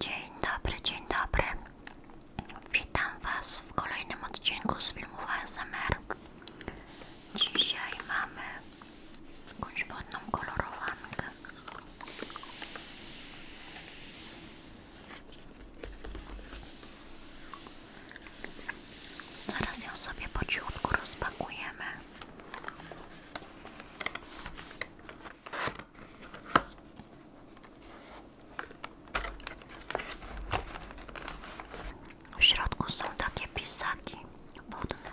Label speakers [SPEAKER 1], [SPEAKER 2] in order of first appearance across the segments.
[SPEAKER 1] Dzień dobry, dzień dobry. Witam Was w kolejnym odcinku z filmów ASMR. Dzisiaj mamy jakąś wodną kolorowankę. Zaraz ją sobie po cichutku rozpakujemy. W środku są takie pisaki wodne.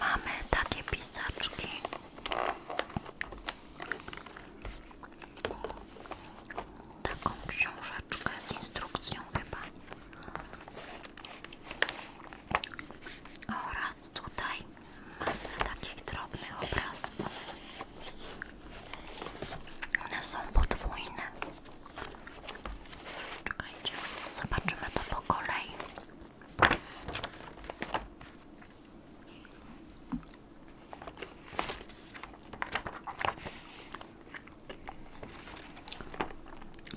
[SPEAKER 1] Mamy takie pisaczki taką książeczkę z instrukcją chyba oraz tutaj masę takich drobnych obrazków one są podwójne czekajcie, zobaczymy to po kolei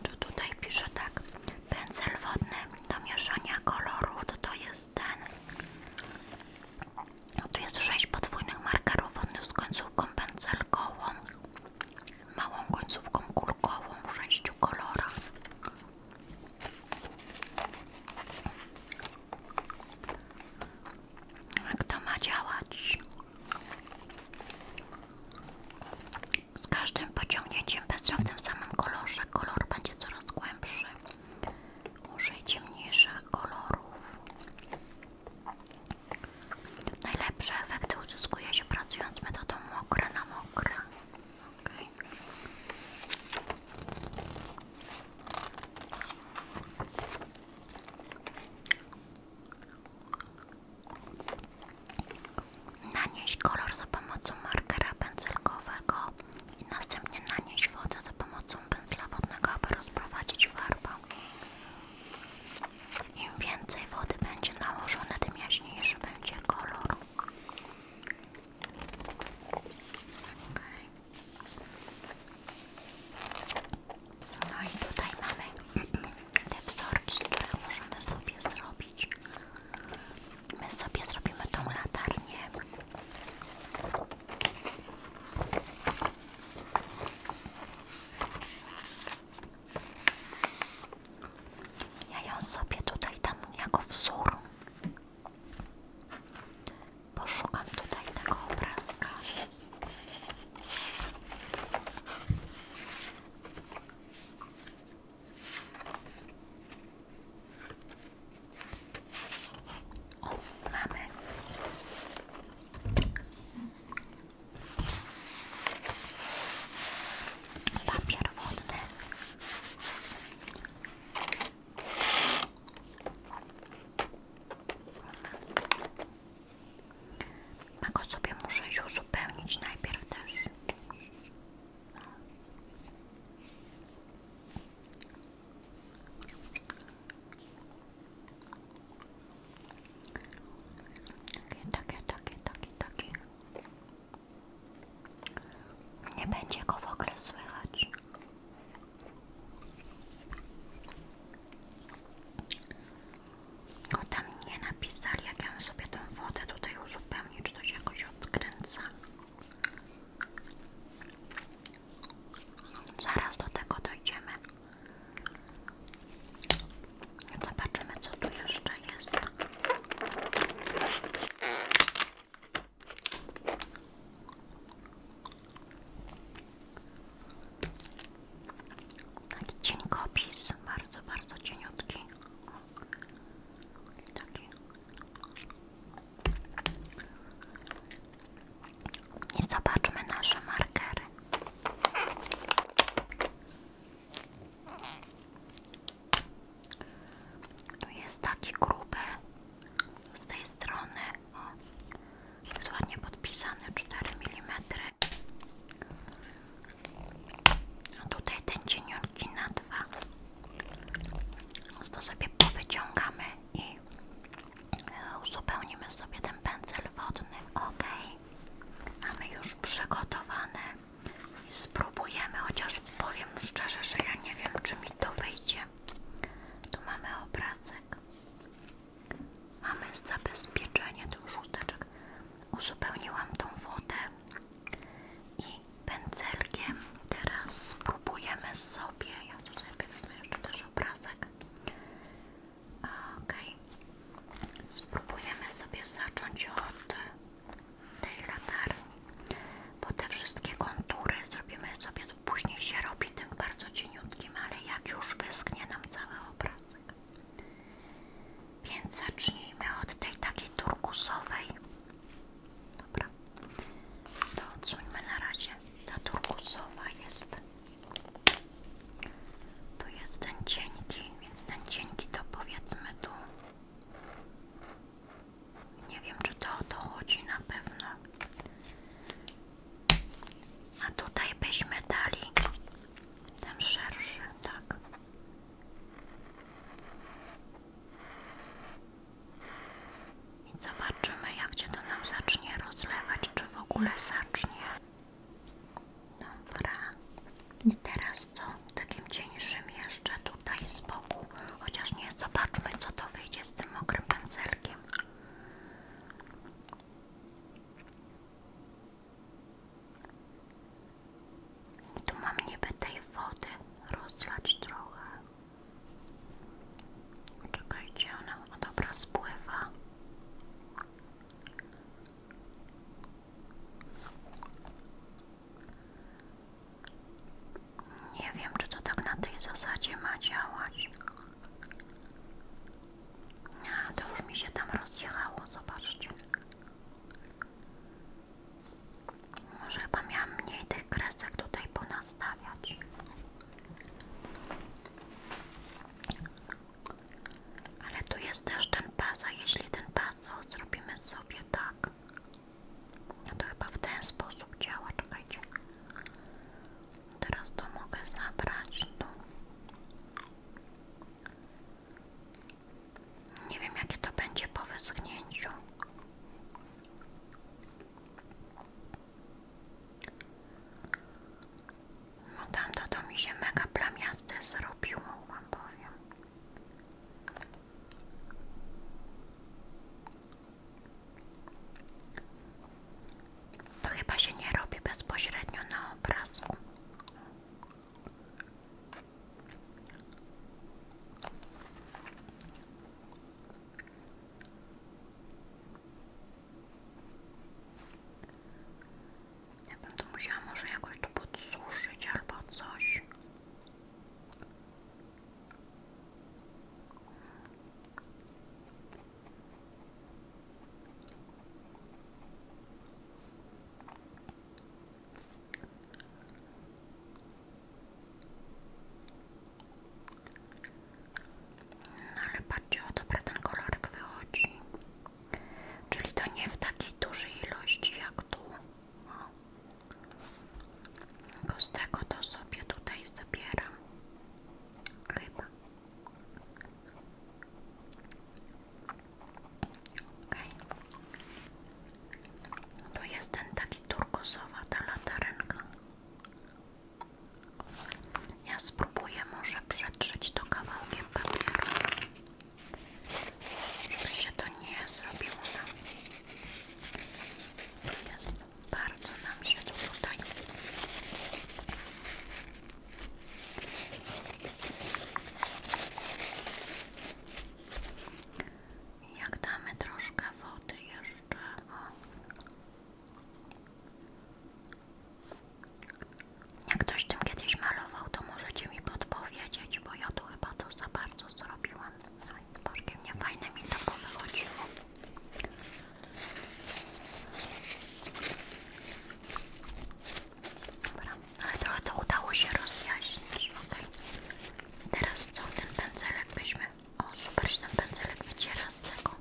[SPEAKER 1] czy tutaj pisze tak? Pędzel wodny do mieszania kolorów, to to jest ten. To jest 6 podwójnych markerów wodnych z końcówką pędzelkową, małą końcówką kulkową w 6 kolorach. Jak to ma działać? Z każdym pociągnięciem bezra w samym kolorze kolor będzie coraz głębszy. użyjcie ciemniejszych kolorów. Najlepsze efekty uzyskuje się pracując metodą mokre na mokre. Nanieś kolor za pomocą markera pędzelkowego i następnie nanieś wodę za pomocą pędzla wodnego, aby rozprowadzić farbę. Im więcej wody będzie nałożone, tym jaśniejszy będzie kolor. Okay. No i tutaj mamy te wzorki, które możemy sobie zrobić. My sobie zrobimy tą latarnię. Ja ją sobie tutaj tam jako wzór Poszukam tutaj tego obrazka. O, mamy. Papier wodny. A sobie muszę już uzupełnić najpierw też. Takie, takie, takie, takie, takie. Nie będzie go w ogóle słychać. O no, tam nie napisali, jak ja mam sobie tę wodę tutaj uzupełnić, czy to się jakoś odkręca. Zaraz do tego dojdziemy. Zobaczymy, co tu jeszcze jest. Taki cienkopis, bardzo, bardzo cieniutki. I zobaczmy nasze markery. Tu jest taki gruby z tej strony. Jest ładnie podpisany 4 mm. A tutaj ten cieniutki na dwa. To sobie powyciągamy i uzupełnimy sobie ten pędzel wodny. Ok, mamy już przygotowane. Spróbujemy, chociaż powiem szczerze, że ja nie wiem, czy mi to wyjdzie. Tu mamy obrazek. Mamy zabezpieczenie tych żółteczek. Uzupełniłam tą wodę i pędzelkiem teraz spróbujemy sobie. Ja tutaj wezmę jeszcze też obrazek. Ok. Spróbujemy sobie zacząć od tej latarni, bo te wszystkie kontury zrobimy sobie Później się robi tym bardzo cieniutkim, ale jak już wysknie nam cały obrazek. Więc zacznijmy od tej takiej turkusowej. Dobra, to odsuńmy na razie. Ta turkusowa jest. Tu jest ten cienki, więc ten cienki to powiedzmy tu. Nie wiem, czy to o to chodzi na pewno. A tutaj byśmy dali ten szerszy, tak. I zobaczymy, jak się to nam zacznie rozlewać, czy w ogóle zacznie. Dobra. I teraz co? Takim cieńszym jeszcze tutaj z boku. Chociaż nie zobaczmy, co to wyjdzie z tym mokrym pędzelkiem. I tu mam niby tej wody rozlać trochę. Czekajcie, ona, o dobra, spływa. Nie wiem, czy to tak na tej zasadzie ma działać. A to już mi się tam rozjechało, zobaczcie. Może chyba miałam mniej tych kresek tutaj ponastawiać. Ale tu jest też ten pas, a jeśli ten pas zrobimy sobie tak. No to chyba w ten sposób działa, czekajcie. Teraz to mogę zabrać tu. No. Nie wiem jakie to będzie po wyschnięciu. No tamto to mi się mega plamiaste zrobiło, wam powiem. To chyba się nie robi bezpośrednio na obrazku. Ja bym może jakoś tu podsuszyć albo coś. No ale patrzcie, o dobra ten kolorek Czyli to nie w takiej dużej ilości jak tu. No. Z tego to sobie tutaj zabieram. Okay. No to jest ten taki turkusowa ta latarenka. Ja spróbuję może przetrzeć to kawałkiem papieru, żeby się to nie zrobiło nam. Tu jest bardzo nam się to tutaj jak damy troszkę wody jeszcze jak ktoś tym kiedyś malował to możecie mi podpowiedzieć bo ja tu chyba to za bardzo zrobiłam no mnie fajne mi to powychodziło Dobra, ale trochę to udało się rozjaśnić, ok? Teraz co, ten pędzelek weźmy? O, super, ten pędzelek wyciera z tego.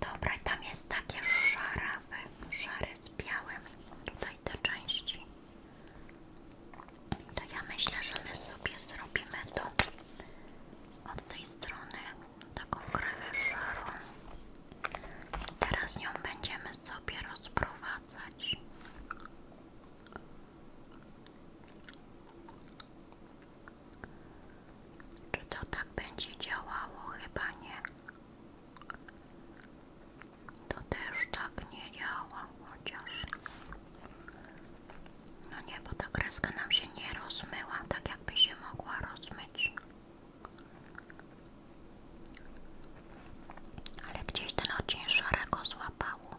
[SPEAKER 1] Dobra, i tam jest takie szarawe, szare z białym, tutaj te części. To ja myślę, że my sobie zrobimy to od tej strony taką krewę szarą. Teraz ją będziemy sobie rozprowadzać. Czy to tak będzie działało? Chyba nie. To też tak nie działa, chociaż no nie, bo ta kreska nam się nie rozmyła, tak jakby się mogła rozmyć. Ale gdzieś ten odcień szarego złapało.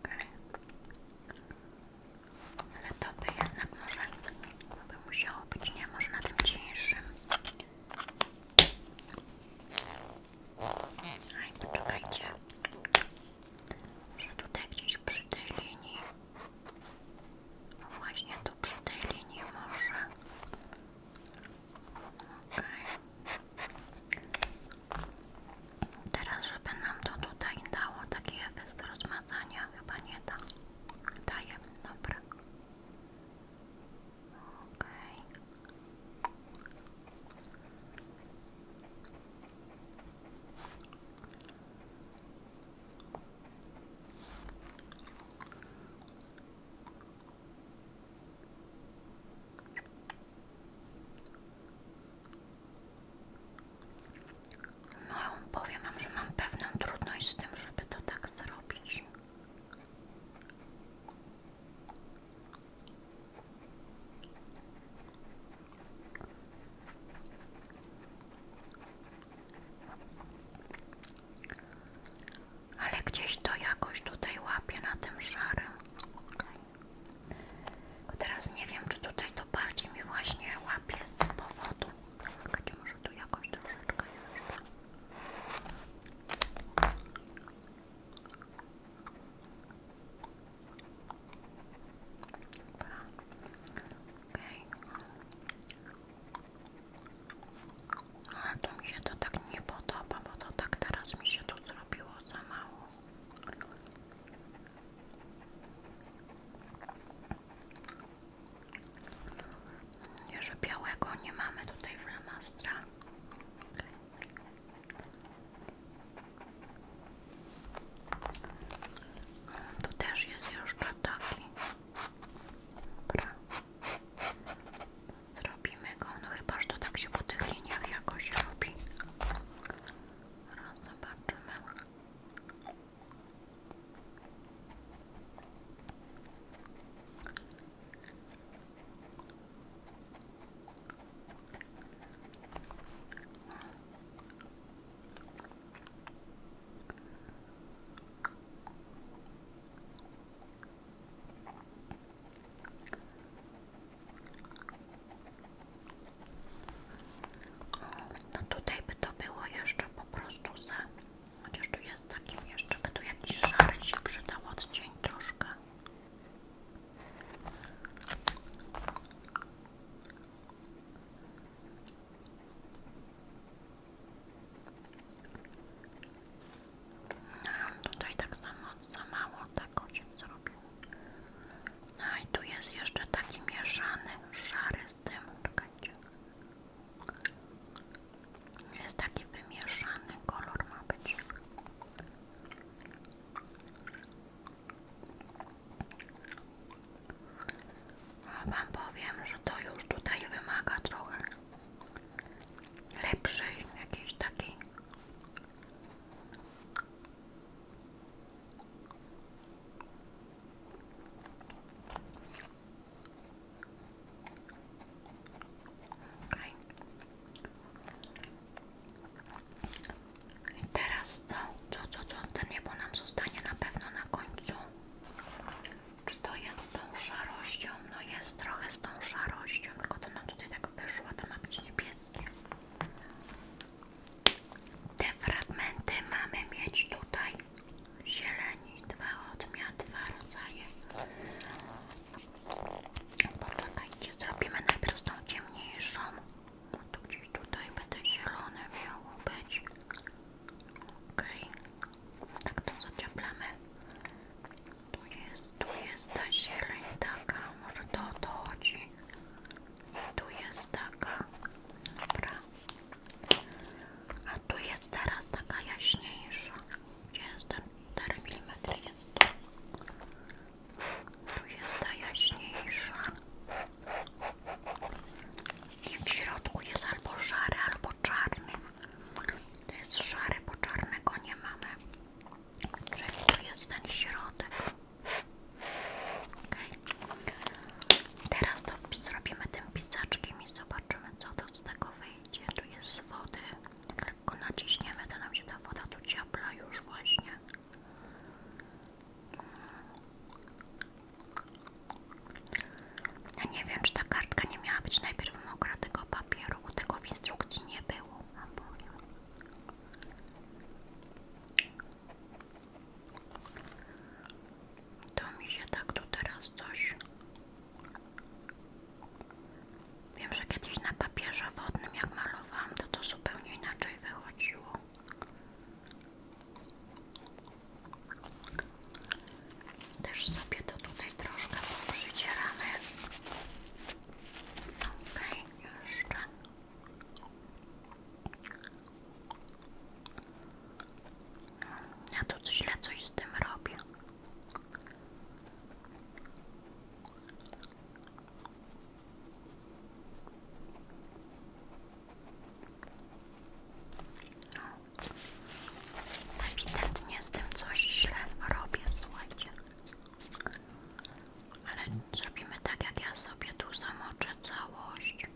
[SPEAKER 1] Okay. Ale to by jednak może by musiało być, nie? Może na tym cieńszym. Aj, no poczekajcie. Może tutaj gdzieś przy tej linii. właśnie tu przy tej linii może. Teraz, żeby nam to tutaj dało taki efekt rozmazania, chyba nie da. Daje, dobra. Okej. Okay. No, powiem że mam pewną trudność z tym, żeby to tak zrobić. Ale gdzieś to jakoś tutaj łapie na tym szarym. Teraz nie wiem, czy tutaj to bardziej mi właśnie łapie z powodu. Czekajcie, może tu jakoś troszeczkę jeszcze. Okej. to mi się to tak nie podoba, bo to tak teraz mi się tu zrobiło za mało. Jeszcze białego nie mamy tutaj flamastra. Tu też jest jeszcze taki. Dobra. Zrobimy go. No chyba, to tak się po tych liniach robi. Raz zobaczymy. No tutaj by to było jeszcze po prostu za Chociaż tu jest takim jeszcze, by tu jakiś szary się przydał odcień troszkę. No, tutaj tak samo za mało tak się zrobił. a no i tu jest jeszcze taki mieszany, szary z tym. Czekajcie. Jest taki wymieszany kolor A wam powiem, że to już tutaj wymaga trochę lepszej jakiejś takiej Okay. teraz co? Co, co, co? To niebo nam zostanie na pewno na końcu. Czy to jest z tą szarością? No jest trochę z tą szarością, tylko to nam tutaj tak wyszło, to ma być niebieskie. Te fragmenty mamy mieć tutaj zielone. Pani dwa odmiany, dwa rodzaje. Poczekajcie, zrobimy najpierw tą ciemniejszą. No to gdzieś tutaj będę zielone miało być. Okej. Okay. Tak to zacieplamy. Tu jest, tu jest ta zieleń taka, może to o to chodzi. Tu jest taka. Dobra. A tu jest teraz taka jaśniejsza. 94 mm jest tu. Tu jest ta jaśniejsza. I w środku jest albo szary, albo czarny. To jest szary, bo czarnego nie mamy. Czyli tu jest ten środek. Teraz to zrobimy tym pisaczkiem i zobaczymy co to z tego wyjdzie. Tu jest z wody lekko naciśniemy, to nam się ta woda tu ciepla już właśnie. Ja nie wiem, czy ta kartka nie miała być najpierw mokra tego papieru, bo tego w instrukcji nie było, wam To mi się tak tu teraz coś Wiem, że kiedyś na papierze wodnym jak malowałam, to to zupełnie inaczej wychodziło. Też sobie to tutaj troszkę poprzycieramy. Okej, okay, jeszcze. Ja tu źle coś z tym robię. No. Ewidentnie z tym coś źle robię, słuchajcie. Ale zrobimy tak, jak ja sobie tu zamoczę całość.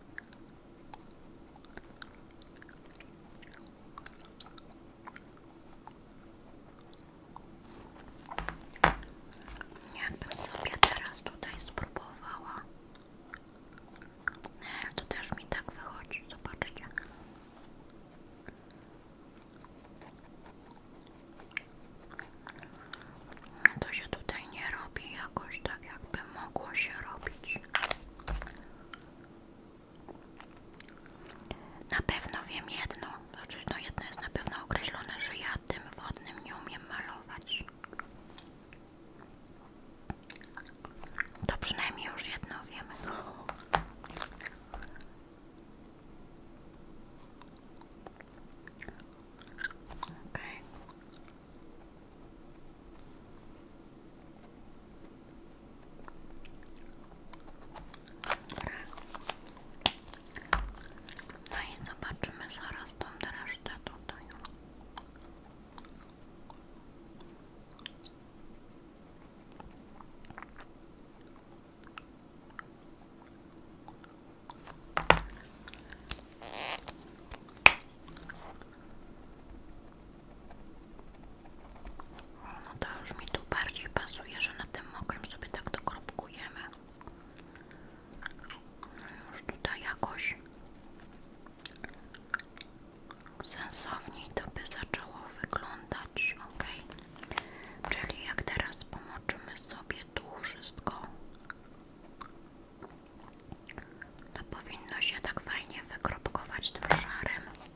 [SPEAKER 1] Jakbym sobie teraz tutaj spróbowała. Nie, to też mi tak wychodzi, zobaczcie. To się tutaj nie robi jakoś tak, jakby mogło się robić. Na pewno wiem jedno, znaczy no jedno jest na pewno określone, że ja tym wodnym nie umiem malować. To przynajmniej już jedno wiemy. No i zobaczymy zaraz tą resztę tutaj no to już mi tu bardziej pasuje, że na tym mokrem sobie tak to kropkujemy. No tutaj jakoś sensowniej to by zaczęło wyglądać, ok? Czyli jak teraz pomoczymy sobie tu wszystko, to powinno się tak fajnie wykropkować tym szarym.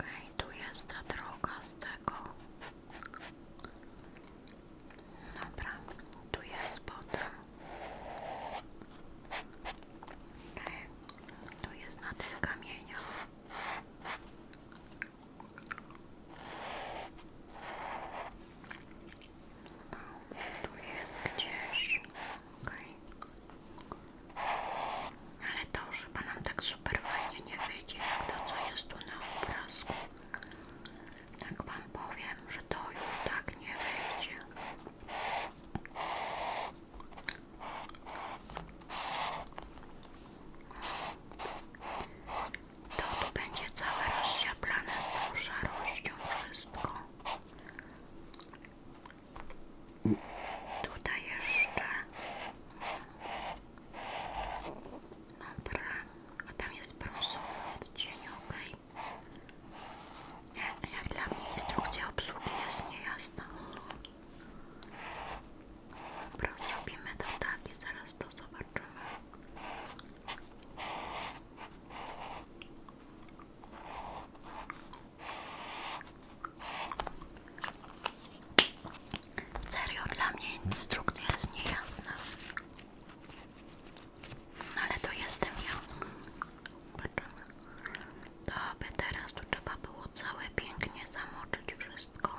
[SPEAKER 1] Okej, jest droga z tego. Dobra, tu jest potem. Okej, jest na tych kamieniach. No, jest gdzieś. Okej. Ale to już chyba nam tak super fajnie nie wyjdzie, jak to co jest tu na obrazku. Tak wam powiem, że to już tak nie wyjdzie. To tu będzie całe rozciaplane z tą szarością wszystko. Tutaj jeszcze. Dobra. A tam jest brązowy odcień, ok? jak dla mnie instrukcja obsługi jest niejasna. Dobra, zrobimy to tak i zaraz to zobaczymy. Serio, dla mnie instrukcja jest niejasna. No, ale to jestem ja. To by teraz tu trzeba było całe pięknie zamoczyć wszystko.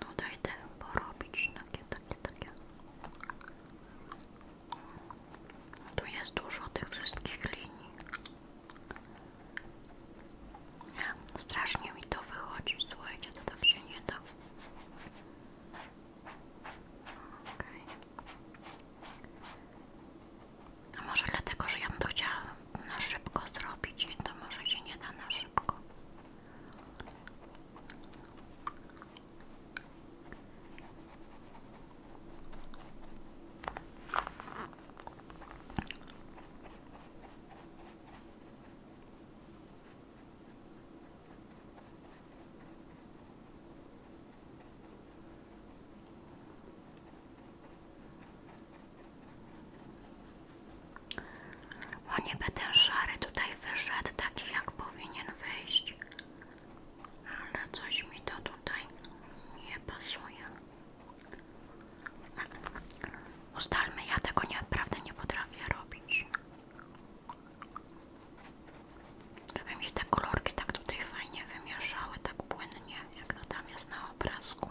[SPEAKER 1] Tutaj te porobić takie, takie, takie. Tu jest dużo tych wszystkich linii. Nie, strasznie mi to wychodzi. Słuchajcie, to tak się nie da. Okay. A może dlatego, że ja bym to chciała na szybko zrobić i to może się nie da na szybko. O niby ten szary tutaj wyszedł jak powinien wyjść ale coś mi to tutaj nie pasuje. Ustalmy, ja tego naprawdę nie potrafię robić. Żeby mi te kolorki tak tutaj fajnie wymieszały, tak płynnie, jak to tam jest na obrazku.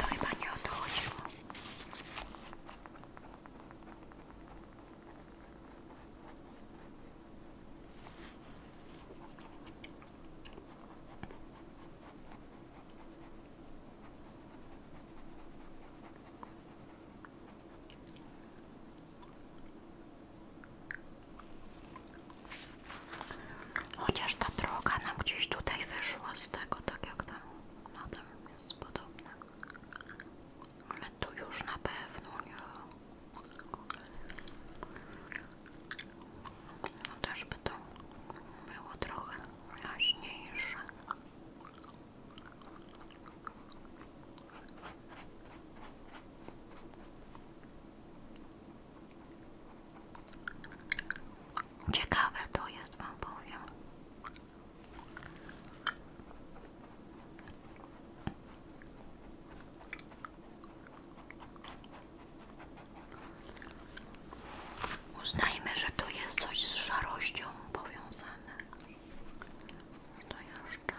[SPEAKER 1] To chyba nie o Chociaż ta droga nam gdzieś tutaj wyszła z tego, tak jak tam na tym jest podobne ale to już na pewno nie. No też by to było trochę jaśniejsze. Ciekawe to jest, wam powiem. Uznajmy, że to jest coś z szarością powiązane. To jeszcze.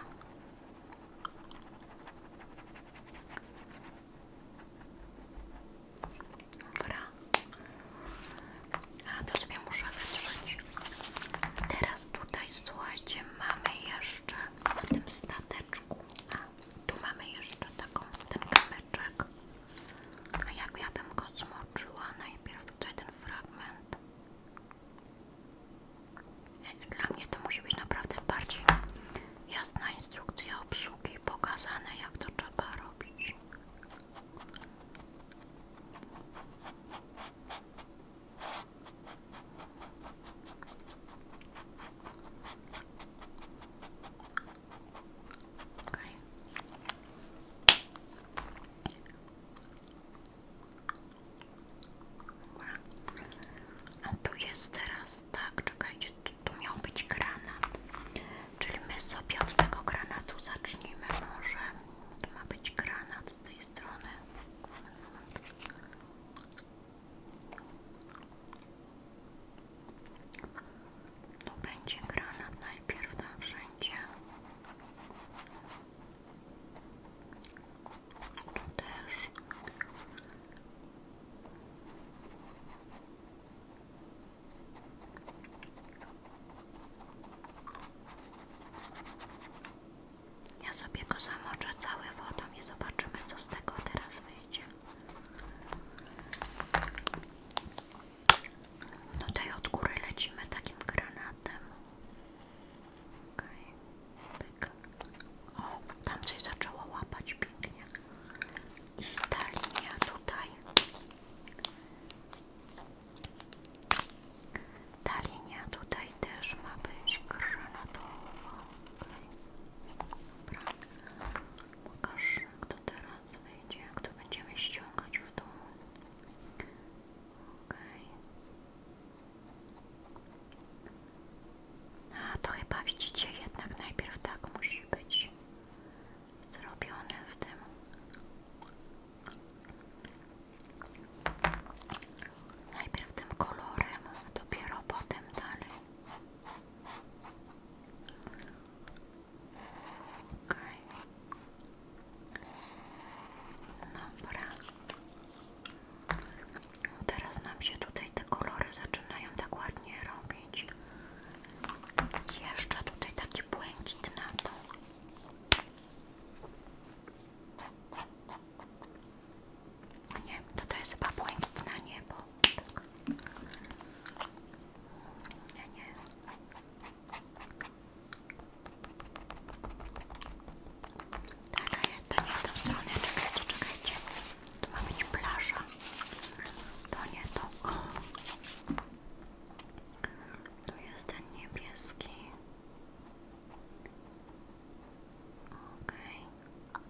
[SPEAKER 1] A to sobie muszę wytrzeć. Teraz tutaj słuchajcie, mamy jeszcze na tym stateczku, a tu mamy jeszcze taką, ten kamyczek. A jak ja bym go zmoczyła najpierw tutaj ten fragment. E, dla mnie to musi być naprawdę bardziej jasna instrukcja obsługi, pokazane jak to trzeba robić. Okay. A tu jest teraz tak, czekajcie, tu, tu miał być granat. Czyli my sobie od tego granatu zacznijmy może. To ma być granat z tej strony. To będzie granat najpierw tam wszędzie. Tu też. Ja sobie go zamoczę cały wodą i zobaczymy, co z tego teraz wyjdzie. Tutaj od góry lecimy takim granatem. O, tam coś zaczęło łapać pięknie. I ta linia tutaj ta linia tutaj też ma być granatowa. Okay. Dobra. Pokaż, kto teraz wyjdzie, jak to będziemy ściągać w dół. Okej. A to chyba widzicie, jednak najpierw tak musi być zrobione w tym Najpierw tym kolorem, a dopiero potem dalej. Okej. Okay. teraz nam się tutaj te kolory zaczynają tak ładnie robić. Jeszcze tutaj taki błękit na to. Nie, to to jest chyba błękitna niebo. Nie, nie. Tak, to nie w tą stronę. Czekajcie, czekajcie. To ma być plaża. To nie to. To jest ten niebieski. Okej. Okay.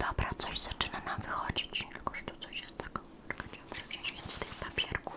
[SPEAKER 1] Dobra, coś zaczyna nam wychodzić, tylko że to coś jest tak. Czekajcie, muszę wziąć więcej tych papierków.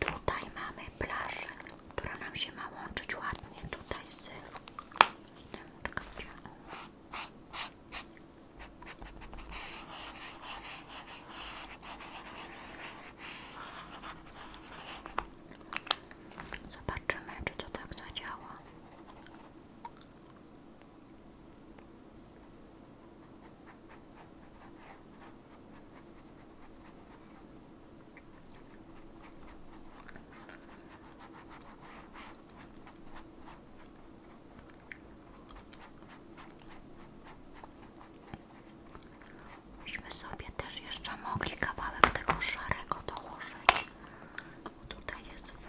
[SPEAKER 1] Tutaj mamy plażę, która nam się ma łączyć ładnie tutaj z Zobaczymy, czy to tak zadziała. Myśmy sobie też jeszcze mogli kawałek tego szarego dołożyć. Tutaj jest w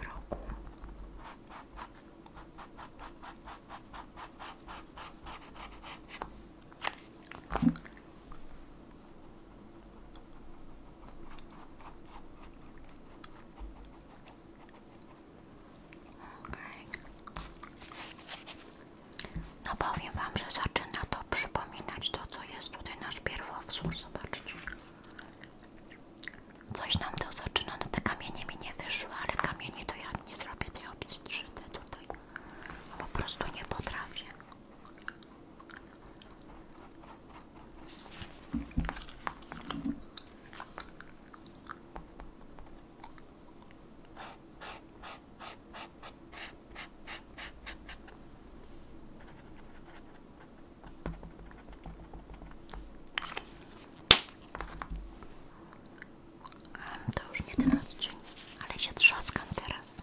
[SPEAKER 1] Okay. No powiem wam, że zaczyna to przypominać to, co jest tutaj nasz pierwowzór. Zobaczcie. Coś nam to zaczyna, no te kamienie mi nie wyszły, ale kamienie to ja nie zrobię tej opcji 3D tutaj. po prostu nie potrafię. To już nie ten odcień, ale się trzaskam teraz.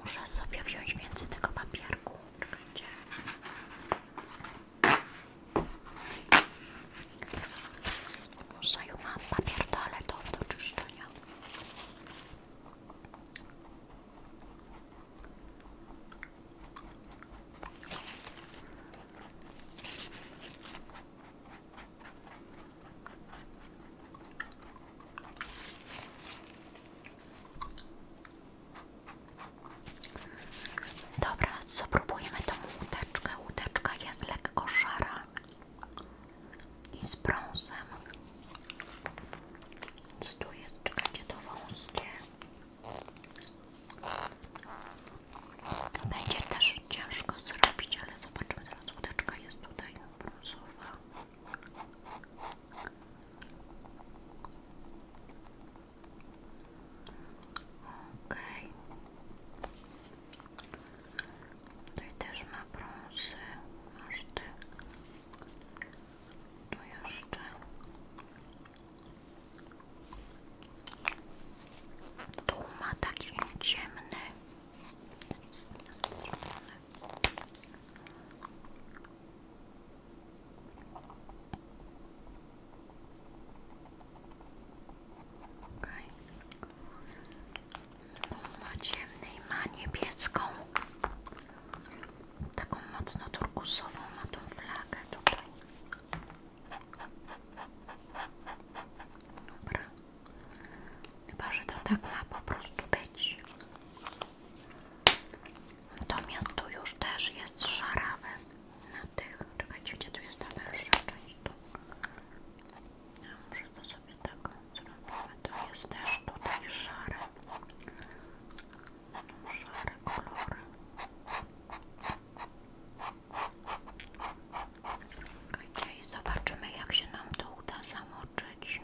[SPEAKER 1] Muszę sobie wziąć więcej tego papierku. Może ją mam papier toaletowy do czyszczenia. Dobra, spróbujmy tą łódeczkę. Łódeczka jest lekko szara i z brązem. Co tu jest? Czekajcie, to wąskie. Będzie też ciężko zrobić, ale zobaczmy teraz. Łódeczka jest tutaj brązowa. Okej. Okay. Tutaj też ma brązy. Masz ty. jeszcze. Tu ma taki ciemny. Okay. Ma ciemny i ma niebieską, taką mocno turkusową ma tą flagę tutaj. Dobra. Chyba, że to tak ma po prostu być. Natomiast tu już też jest szarawy na tych, czekajcie, gdzie tu jest ta węższa część, tu ja może to sobie tak zrobimy, to jest też tutaj szare no, szare kolory czekajcie i zobaczymy jak się nam to uda zamoczyć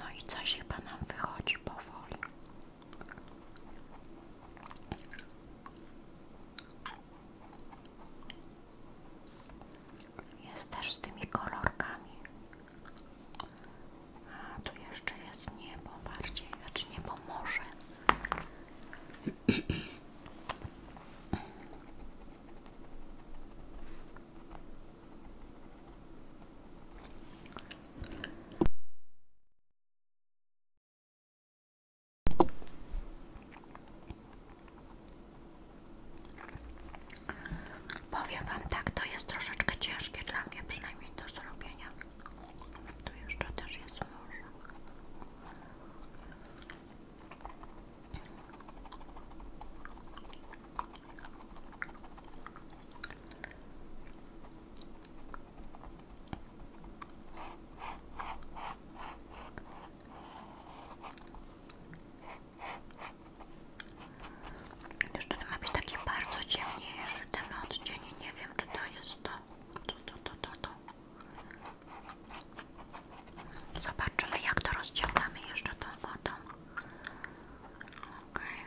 [SPEAKER 1] no i coś chyba nam wychodzi powoli. Jest też z tymi kolorkami. A tu jeszcze jest niebo bardziej, znaczy niebo morze. Powiem Wam tak, to jest troszeczkę ciężkie dla mnie, przynajmniej do zrobienia. Tu jeszcze też jest morze. Już tutaj ma być taki bardzo ciemniejszy ten odcień nie wiem czy to jest to. To, to, to, to, to. Zobaczymy jak to rozciągamy jeszcze tą wodą. Okej.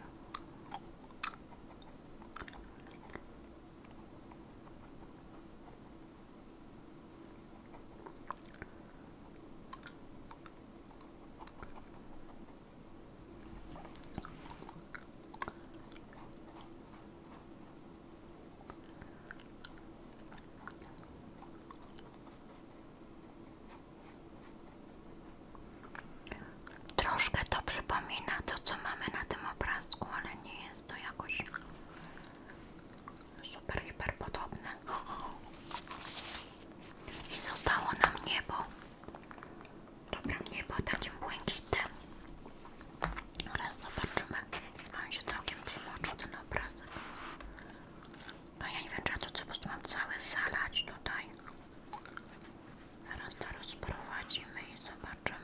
[SPEAKER 1] Troszkę to przypomina to, co mamy na tym obrazku, ale nie jest to jakąś super, hiper podobne. I zostało nam niebo. Dobra, niebo takim błękitnym. Raz zobaczymy. On się całkiem przymoczył ten obrazek. No ja nie wiem, czy ja to po prostu mam cały zalać tutaj. Zaraz to rozprowadzimy i zobaczymy.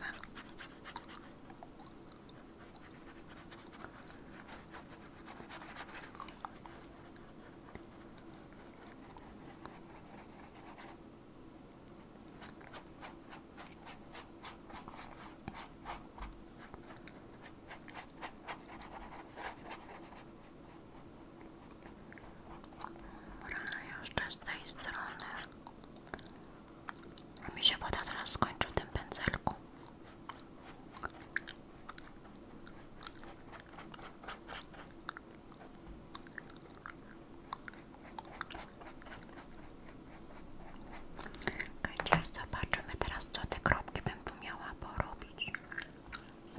[SPEAKER 1] Rano jeszcze z tej strony. A woda zaraz skończy w tym Słuchajcie, zobaczymy teraz, co te kropki bym tu miała porobić.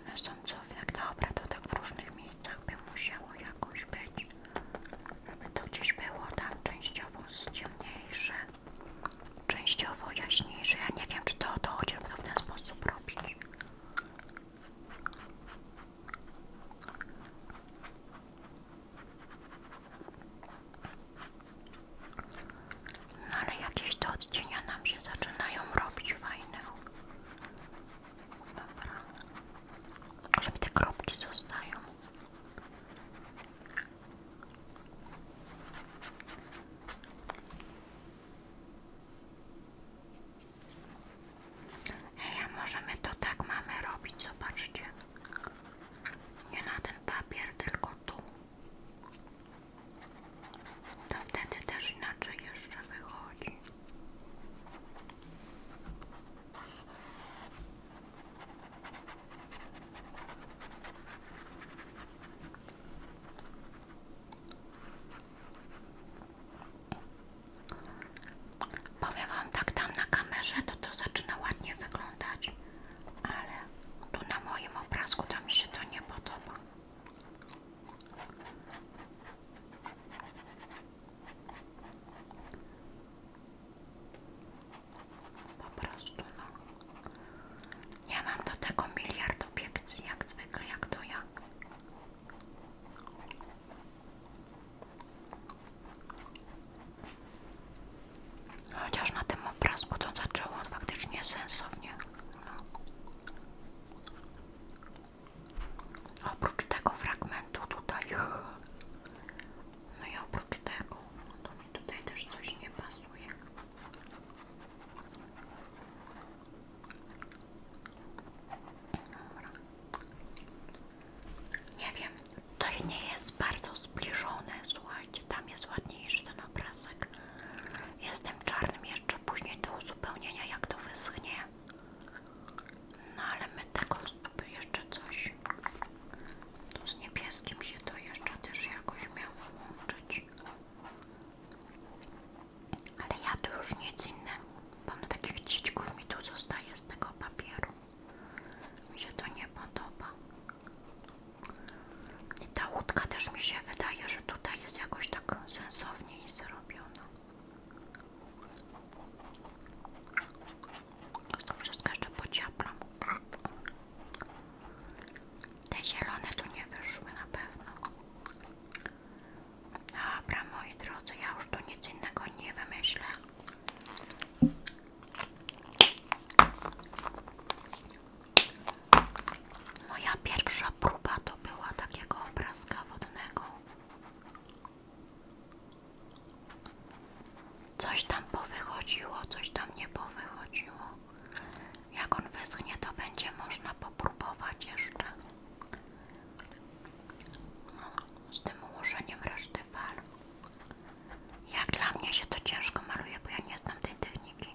[SPEAKER 1] One są co, jak dobra, to tak w różnych miejscach by musiało jakoś być. Żeby to gdzieś było tam częściowo ciemniejsze częściowo jaśniejszy. Ja nie wiem, czy to, to chociaż w ten sposób robić. No ale jakieś te odcienia nam się zaczynają robić fajne. Dobra. Żeby te kropki zostają. Hej, a może my to tak mamy robić, zobaczcie. Nie na ten papier, tylko tu. To wtedy też inaczej jeszcze wychodzi. Powiem Wam tak, tam na kamerze to to zaczyna ładnie wyglądać, ale tu na moim obrazku tam się to nie podoba. Po prostu no. Ja mam do tego miliard obiekcji, jak zwykle, jak to ja. Chociaż na tym obraz to zaczęło faktycznie sensownie. No. Oprócz tego fragmentu tutaj. No i oprócz tego, to mi tutaj też coś nie pasuje. Nie wiem, to nie jest bardzo zbliżone, słuchajcie, tam jest ładniejszy ten obrazek. Jestem czarnym jeszcze później do uzupełnienia, jak to wyschnie. No ale my taką jeszcze coś. Tu z niebieskim się to jeszcze też jakoś miało łączyć. Ale ja tu już nic innego. Mam takich ciczków mi tu zostaje z tego papieru. Mi się to nie podoba. I ta łódka też mi się wydaje, że tutaj jest jakoś tak sensowniej zrobiona. To wszystko jeszcze pociaplam. Te zielone tu nie wyszły na pewno. Dobra, moi drodzy, ja już tu nic innego nie wymyślę. Moja pierwsza próba to była takiego obrazka wodnego. Coś tam powychodziło, coś tam nie powychodziło. Jak on wyschnie, to będzie można popróbować jeszcze no, z tym ułożeniem reszty fal. Jak dla mnie się to ciężko maluje, bo ja nie znam tej techniki.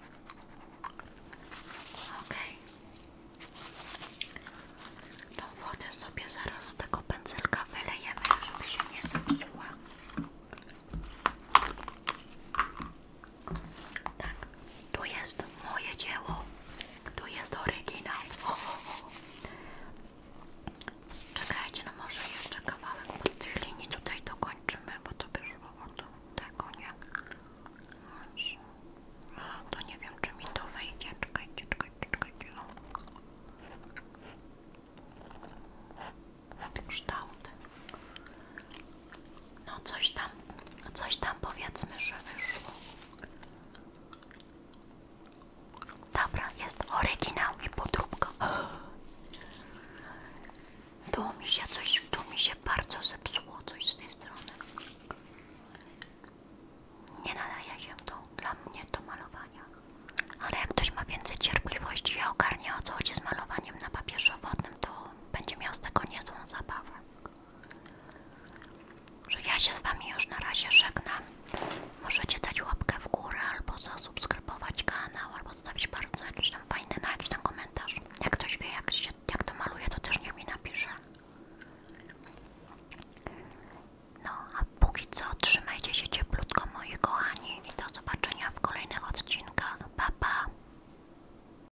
[SPEAKER 1] Ok. Tą wodę sobie zaraz z tego pędzelka wylejemy, żeby się nie zepsuła. Tak, tu jest moje dzieło, tu jest oryginał. Czekajcie, no może jeszcze kawałek pod tej linii tutaj dokończymy, bo to by szło do tego, nie? A, to nie wiem, czy mi to wejdzie. Czekajcie, czekajcie, czekajcie. O. Kształty. No coś tam, coś tam powiedzmy, że wyszło. Dobra, jest oryginał i podróbka. Tu mi się coś, tu się bardzo zepsuło coś z tej strony. Nie nadaje się to dla mnie do malowania. Ale jak ktoś ma więcej cierpliwości i ogarnie o co chodzi z malowaniem na papierze wodnym, to będzie miał z tego niezłą zabawę że ja się z Wami już na razie żegnam. Możecie dać łapkę w górę, albo zasubskrybować kanał, albo zostawić bardzo jakiś tam fajny na jakiś komentarz. Jak ktoś wie, jak, się, jak to maluje, to też niech mi napisze. No, a póki co trzymajcie się cieplutko, moi kochani, i do zobaczenia w kolejnych odcinkach. Pa, pa!